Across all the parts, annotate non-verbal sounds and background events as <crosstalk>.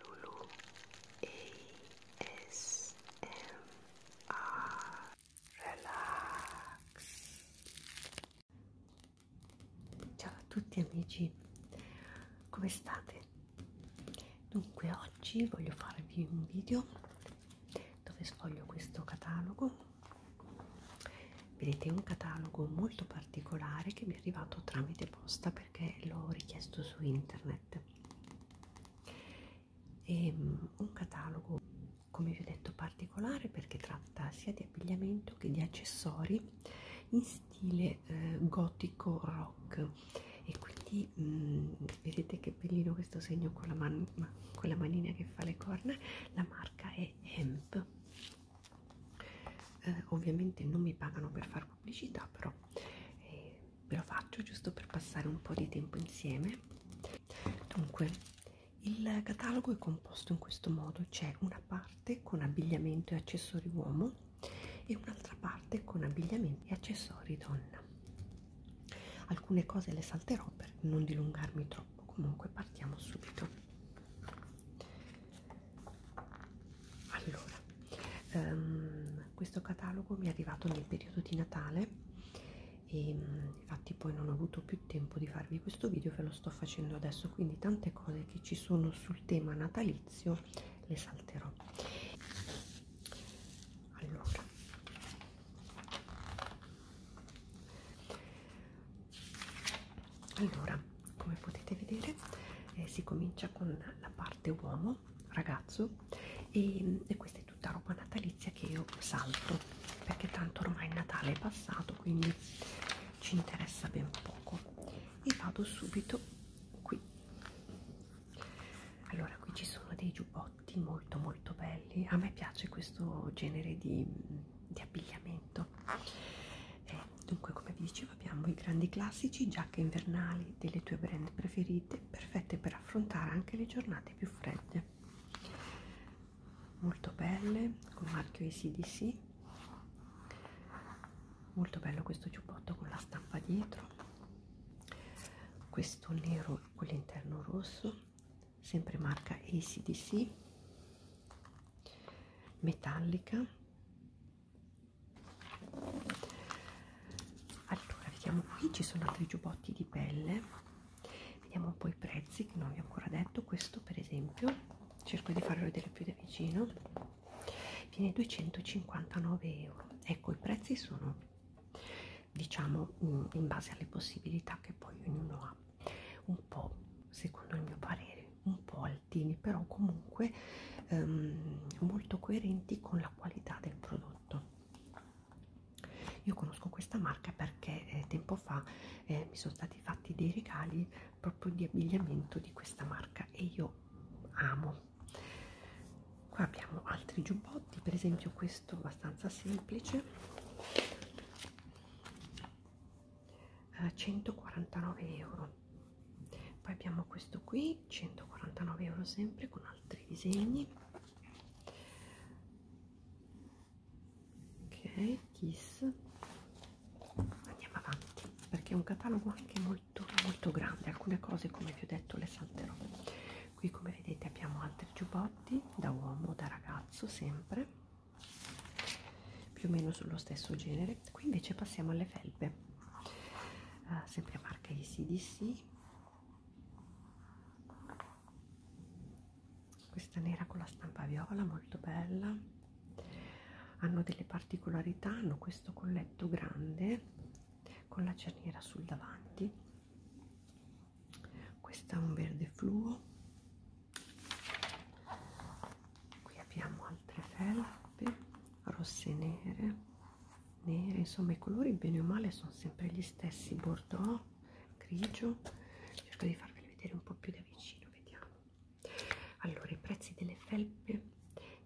Lulu ASMR Relax Ciao a tutti amici, come state? Dunque oggi voglio farvi un video dove sfoglio questo catalogo vedete è un catalogo molto particolare che mi è arrivato tramite posta perché l'ho richiesto su internet e ehm, un catalogo come vi ho detto particolare perché tratta sia di abbigliamento che di accessori in stile eh, gotico rock e quindi mh, mm, vedete che bellino questo segno con la, man con la manina che fa le corna la marca è Hemp eh, ovviamente non mi pagano per far la pubblicità però eh, ve lo faccio giusto per passare un po' di tempo insieme dunque il catalogo è composto in questo modo c'è una parte con abbigliamento e accessori uomo e un'altra parte con abbigliamenti e accessori donna alcune cose le salterò per non dilungarmi troppo comunque partiamo subito allora um, questo catalogo mi è arrivato nel periodo di Natale e mm, infatti poi non ho avuto più tempo di farvi questo video ve lo sto facendo adesso quindi tante cose che ci sono sul tema natalizio le salterò allora allora come potete vedere eh, si comincia con la parte uomo ragazzo e, e questa è tutta roba natalizia che io salto perché tanto ormai il Natale è passato quindi ci interessa ben poco e vado subito qui allora qui ci sono dei giubbotti molto molto belli a me piace questo genere di, di abbigliamento eh, dunque, come vi dicevo, abbiamo i grandi classici, giacche invernali delle tue brand preferite, perfette per affrontare anche le giornate più fredde. Molto belle, con marchio ACDC. Molto bello questo giubbotto con la stampa dietro. Questo nero con l'interno rosso, sempre marca ACDC. Metallica allora vediamo qui ci sono altri giubbotti di pelle vediamo un po' i prezzi che non vi ho ancora detto questo per esempio cerco di farlo vedere più da vicino viene 259 euro ecco i prezzi sono diciamo mm, in base alle possibilità che poi ognuno ha un po' secondo il mio parere un po' altini però comunque ehm, molto coerenti con la qualità del prodotto io conosco questa marca perché eh, tempo fa eh, mi sono stati fatti dei regali proprio di abbigliamento di questa marca e io amo qua abbiamo altri giubbotti per esempio questo abbastanza semplice eh, 149 euro poi abbiamo questo qui 149 euro sempre con altri disegni ok kiss andiamo avanti perché è un catalogo anche molto molto grande alcune cose come vi ho detto le salterò qui come vedete abbiamo altri giubbotti da uomo da ragazzo sempre più o meno sullo stesso genere qui invece passiamo alle felpe uh, sempre marca ICDC questa nera con la stampa viola molto bella hanno delle particolarità hanno questo colletto grande con la cerniera sul davanti questa è un verde fluo qui abbiamo altre felpe rosse nere nere insomma i colori bene o male sono sempre gli stessi bordeaux grigio cerco di farveli vedere un po più da vicino vediamo allora i prezzi delle felpe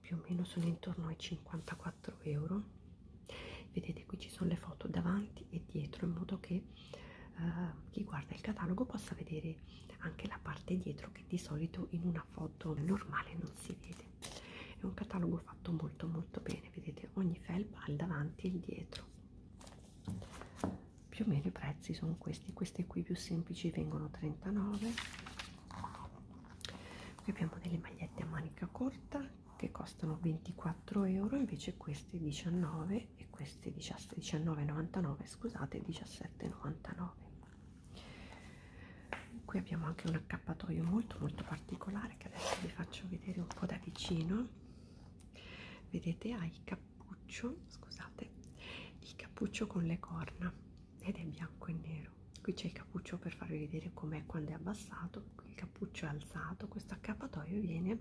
più o meno sono intorno ai 54 euro vedete qui ci sono le foto davanti e dietro in modo che eh, chi guarda il catalogo possa vedere anche la parte dietro che di solito in una foto normale non si vede è un catalogo fatto molto molto bene vedete ogni felpa ha il davanti e il dietro più o meno i prezzi sono questi questi qui più semplici vengono 39 qui abbiamo delle magliette a manica corta che costano 24 euro invece queste 19 e queste questi 19,99 scusate 17,99 qui abbiamo anche un accappatoio molto molto particolare che adesso vi faccio vedere un po' da vicino vedete ha il cappuccio scusate il cappuccio con le corna ed è bianco e nero qui c'è il cappuccio per farvi vedere com'è quando è abbassato il cappuccio è alzato questo accappatoio viene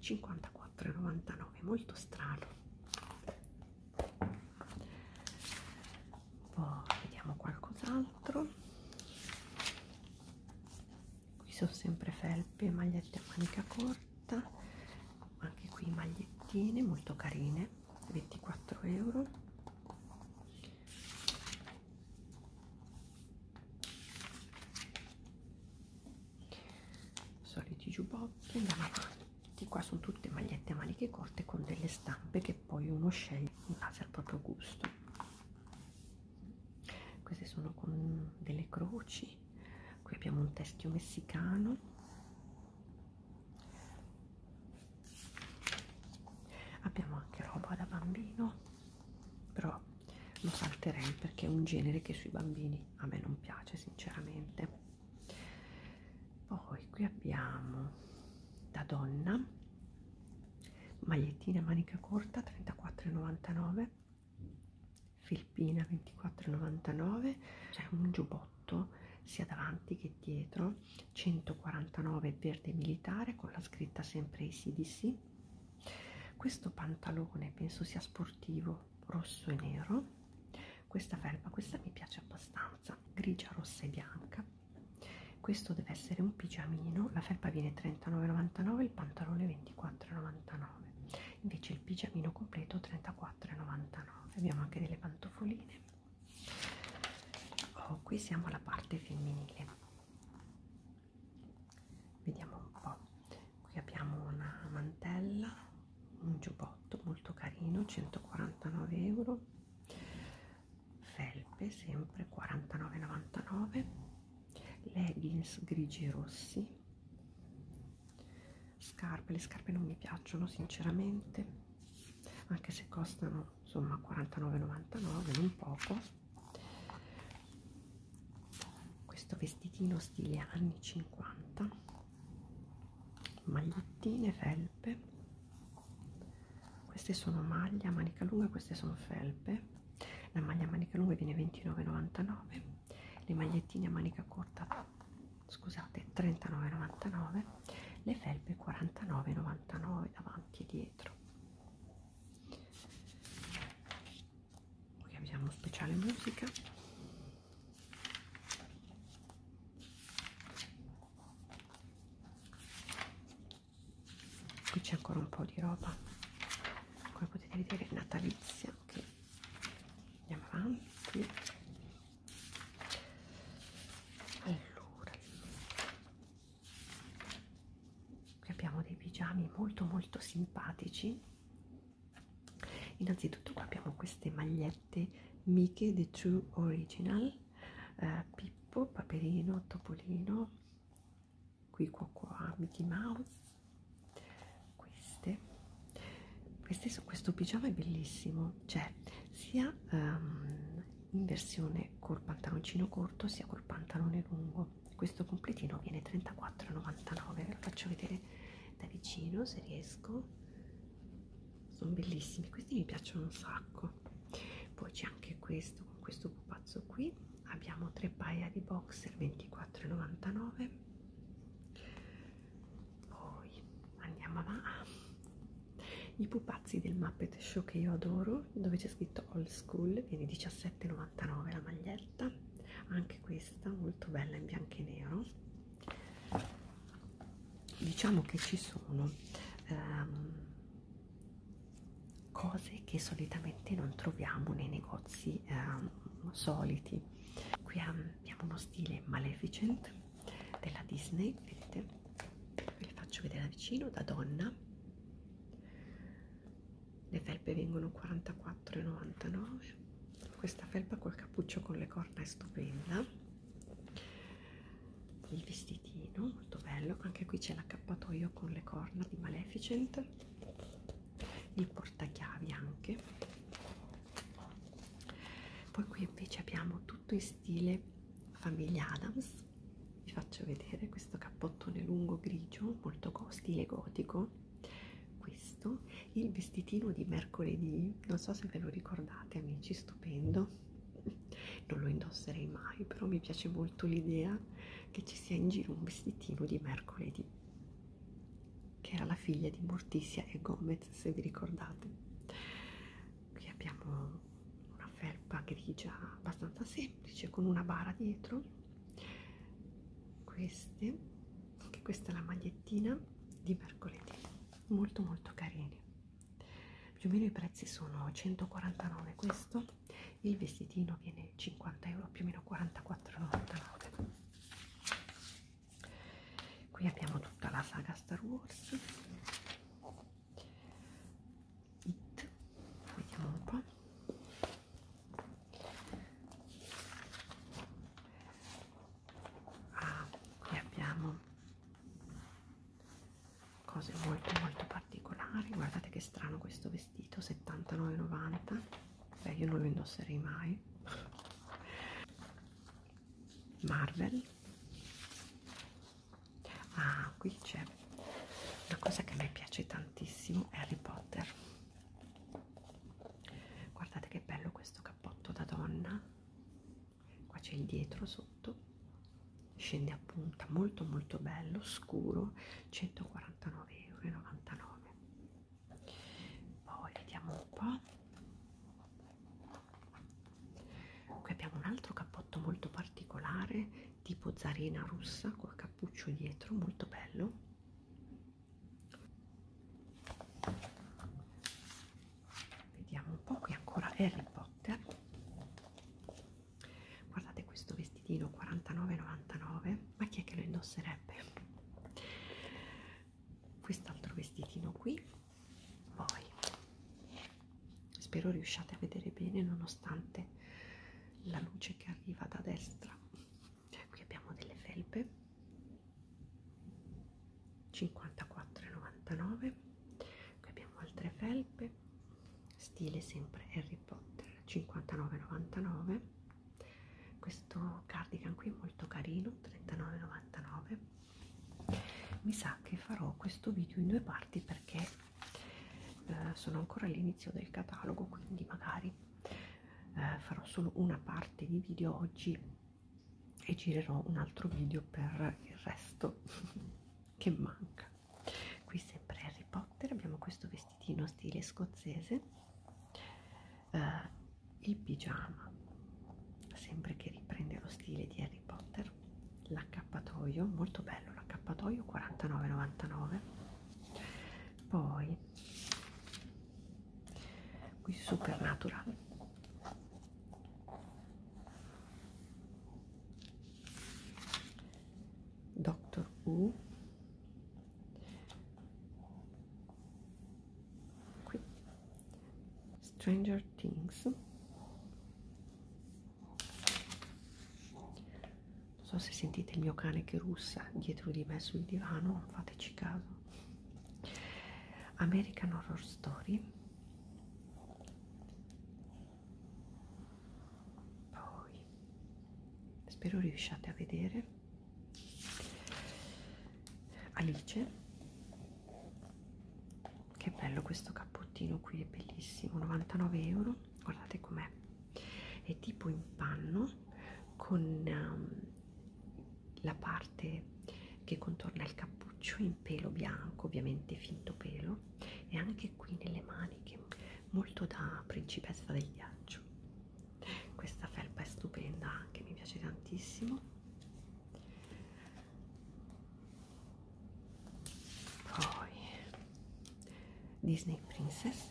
54 4,99 molto strano poi vediamo qualcos'altro qui sono sempre felpe magliette a manica corta anche qui magliettine molto carine 24 euro soliti giubbotti andiamo avanti qua sono tutte magliette a maniche corte con delle stampe che poi uno sceglie in base al proprio gusto queste sono con delle croci qui abbiamo un teschio messicano abbiamo anche roba da bambino però lo salterei perché è un genere che sui bambini a me non piace sinceramente poi qui abbiamo da donna magliettina manica corta 34,99 filpina 24,99 c'è un giubbotto sia davanti che dietro 149 verde militare con la scritta sempre ACDC questo pantalone penso sia sportivo rosso e nero questa felpa questa mi piace abbastanza grigia rossa e bianca questo deve essere un pigiamino la felpa viene 39,99 il pantalone 24,99 invece il pigiamino completo 34,99 abbiamo anche delle pantofoline oh, qui siamo alla parte femminile vediamo un po' qui abbiamo una mantella un giubbotto molto carino 149 euro felpe sempre 49,99 leggings grigi e rossi scarpe le scarpe non mi piacciono sinceramente anche se costano insomma 49,99 non poco questo vestitino stile anni 50 magliettine felpe queste sono maglie a manica lunga queste sono felpe la maglia a manica lunga viene 29,99 le magliettine a manica corta scusate 39,99 le felpe 49,99 davanti e dietro poi abbiamo speciale musica qui c'è ancora un po' di roba come potete vedere natalizia che andiamo avanti allora qui abbiamo dei pigiami molto molto simpatici innanzitutto qua abbiamo queste magliette Mickey The True Original eh, Pippo, Paperino, Topolino qui qua qua Mickey Mouse queste queste su questo pigiama è bellissimo c'è sia um, in versione col pantaloncino corto sia col pantalone lungo questo completino viene 34,99 ve lo faccio vedere da vicino se riesco sono bellissimi questi mi piacciono un sacco poi c'è anche questo con questo pupazzo qui abbiamo tre paia di boxer 24,99 poi andiamo avanti i pupazzi del Muppet Show che io adoro dove c'è scritto molto old school viene 17,99 la maglietta anche questa molto bella in bianco e nero diciamo che ci sono ehm, cose che solitamente non troviamo nei negozi ehm, soliti qui abbiamo uno stile maleficent della disney vedete ve li faccio vedere da vicino da donna le felpe vengono 44,99 questa felpa col cappuccio con le corna è stupenda il vestitino molto bello anche qui c'è l'accappatoio con le corna di Maleficent il portachiavi anche poi qui invece abbiamo tutto in stile famiglia Adams vi faccio vedere questo cappottone lungo grigio molto stile gotico questo il vestitino di mercoledì non so se ve lo ricordate amici stupendo non lo indosserei mai però mi piace molto l'idea che ci sia in giro un vestitino di mercoledì che era la figlia di Morticia e Gomez se vi ricordate qui abbiamo una felpa grigia abbastanza semplice semplice con una bara dietro queste anche questa è la magliettina di mercoledì molto molto carine più o meno i prezzi sono 149 questo il vestitino viene 50 euro più o meno 44,99 qui abbiamo tutta la saga Star Wars It. Vediamo un po'. Ah, qui abbiamo cose molto molto particolari. Guardate che strano questo vestito, 79,90. Beh, io non lo indosserei mai. Marvel ah qui c'è una cosa che a me piace tantissimo Harry Potter guardate che bello questo cappotto da donna qua c'è il dietro sotto scende a punta molto molto bello scuro 149,99 euro poi vediamo un po' qui abbiamo un altro cappotto molto particolare tipo zarina russa col cappuccio dietro molto bello vediamo un po' qui ancora Harry Potter guardate questo vestitino 49,99 ma chi è che lo indosserebbe quest'altro vestitino qui poi spero riusciate a vedere bene nonostante la luce che arriva da destra cioè, qui abbiamo delle felpe 54,99 qui abbiamo altre felpe stile sempre Harry Potter 59,99 questo cardigan qui è molto carino 39,99 mi sa che farò questo video in due parti perché eh, sono ancora all'inizio del catalogo quindi magari eh, farò solo una parte di video oggi e girerò un altro video per il resto <laughs> che manca qui sempre Harry Potter abbiamo questo vestitino stile scozzese eh, il pigiama sempre che riprende lo stile di Harry Harry Potter l'accappatoio molto bello l'accappatoio 49,99 poi qui Supernatural Doctor Who qui Stranger Things non so se sentite il mio cane che russa dietro di me sul divano non fateci caso American Horror Story poi spero riusciate a vedere Alice che bello questo cappottino qui è bellissimo 99 euro guardate com'è è tipo in panno con um, la parte che contorna il cappuccio in pelo bianco ovviamente finto pelo e anche qui nelle maniche molto da principessa del ghiaccio questa felpa è stupenda anche mi piace tantissimo poi Disney Princess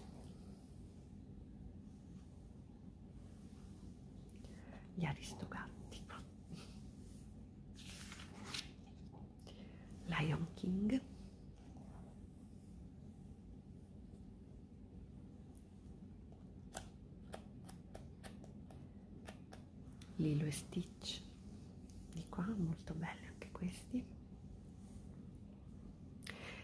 gli Aristogatti Lion King Lilo e Stitch di qua, molto belli anche questi.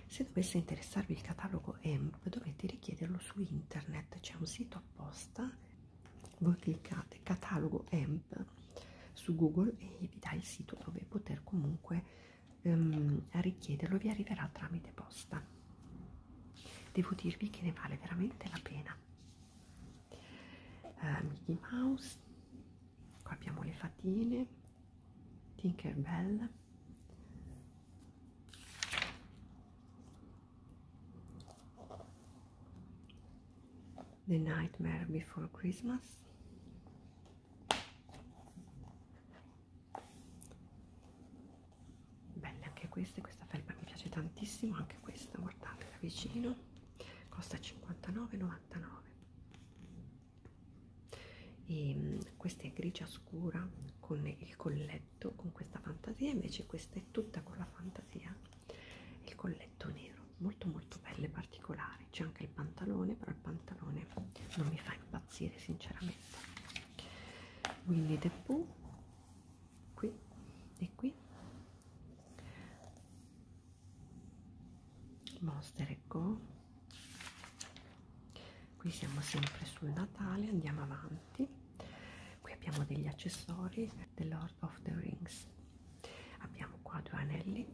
Se dovesse interessarvi il catalogo EMP dovete richiederlo su internet, c'è un sito apposta, voi cliccate catalogo EMP su Google e vi dà il sito dove poter comunque ehm, richiederlo, vi arriverà tramite posta. Devo dirvi che ne vale veramente la pena eh, Mickey Mouse qua abbiamo le fatine Tinkerbell The Nightmare Before Christmas Belle anche queste questa felpa mi piace tantissimo anche questa guardate da vicino costa 59,99 e ehm, questa è grigia scura con il colletto con questa fantasia invece questa è tutta con la fantasia il colletto nero molto molto belle particolari c'è anche il pantalone però il pantalone non mi fa impazzire sinceramente quindi Depu qui e qui Monster Go qui siamo sempre sul Natale andiamo avanti qui abbiamo degli accessori The Lord of the Rings abbiamo qua due anelli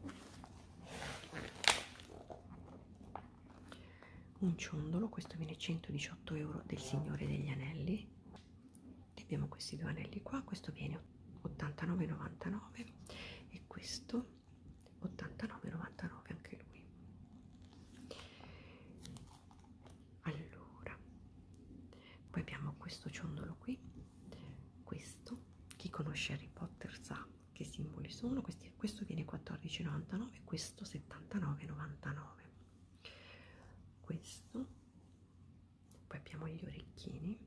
un ciondolo questo viene 118 euro del Signore degli Anelli e abbiamo questi due anelli qua questo viene 89,99 e questo 89,99 anche lui allora poi abbiamo questo ciondolo qui questo chi conosce Harry Potter sa che simboli sono questi questo viene 14,99 questo 79,99 questo poi abbiamo gli orecchini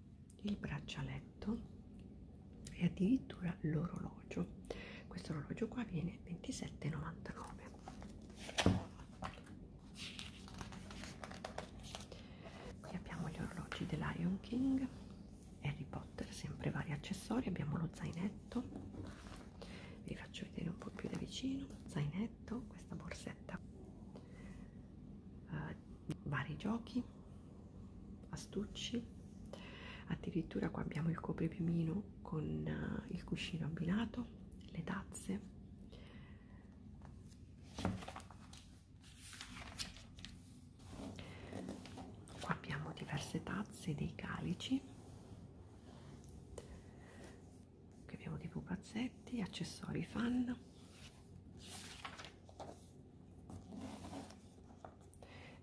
il braccialetto e addirittura l'orologio questo orologio qua viene 27,99 qui abbiamo gli orologi del Lion King Harry Potter sempre vari accessori abbiamo lo zainetto vi faccio vedere un po' più da vicino zainetto, questa borsetta uh, vari giochi astucci addirittura qua abbiamo il copripiumino con uh, il cuscino abbinato le tazze qua abbiamo diverse tazze dei calici che abbiamo dei pupazzetti, accessori fan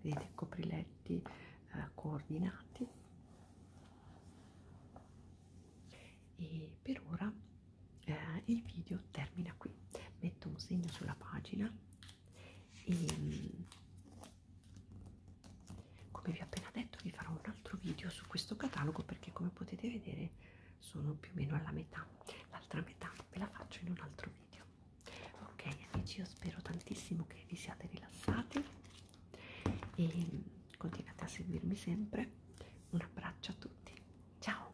vedete copriletti eh, coordinati e per ora eh, il video termina qui metto un segno sulla pagina e mm, come vi ho appena detto vi farò un altro video su questo catalogo perché come potete vedere sono più o meno alla metà l'altra metà ve la faccio in un altro video ok amici io spero tantissimo che vi siate rilassati e continuate a seguirmi sempre un abbraccio a tutti ciao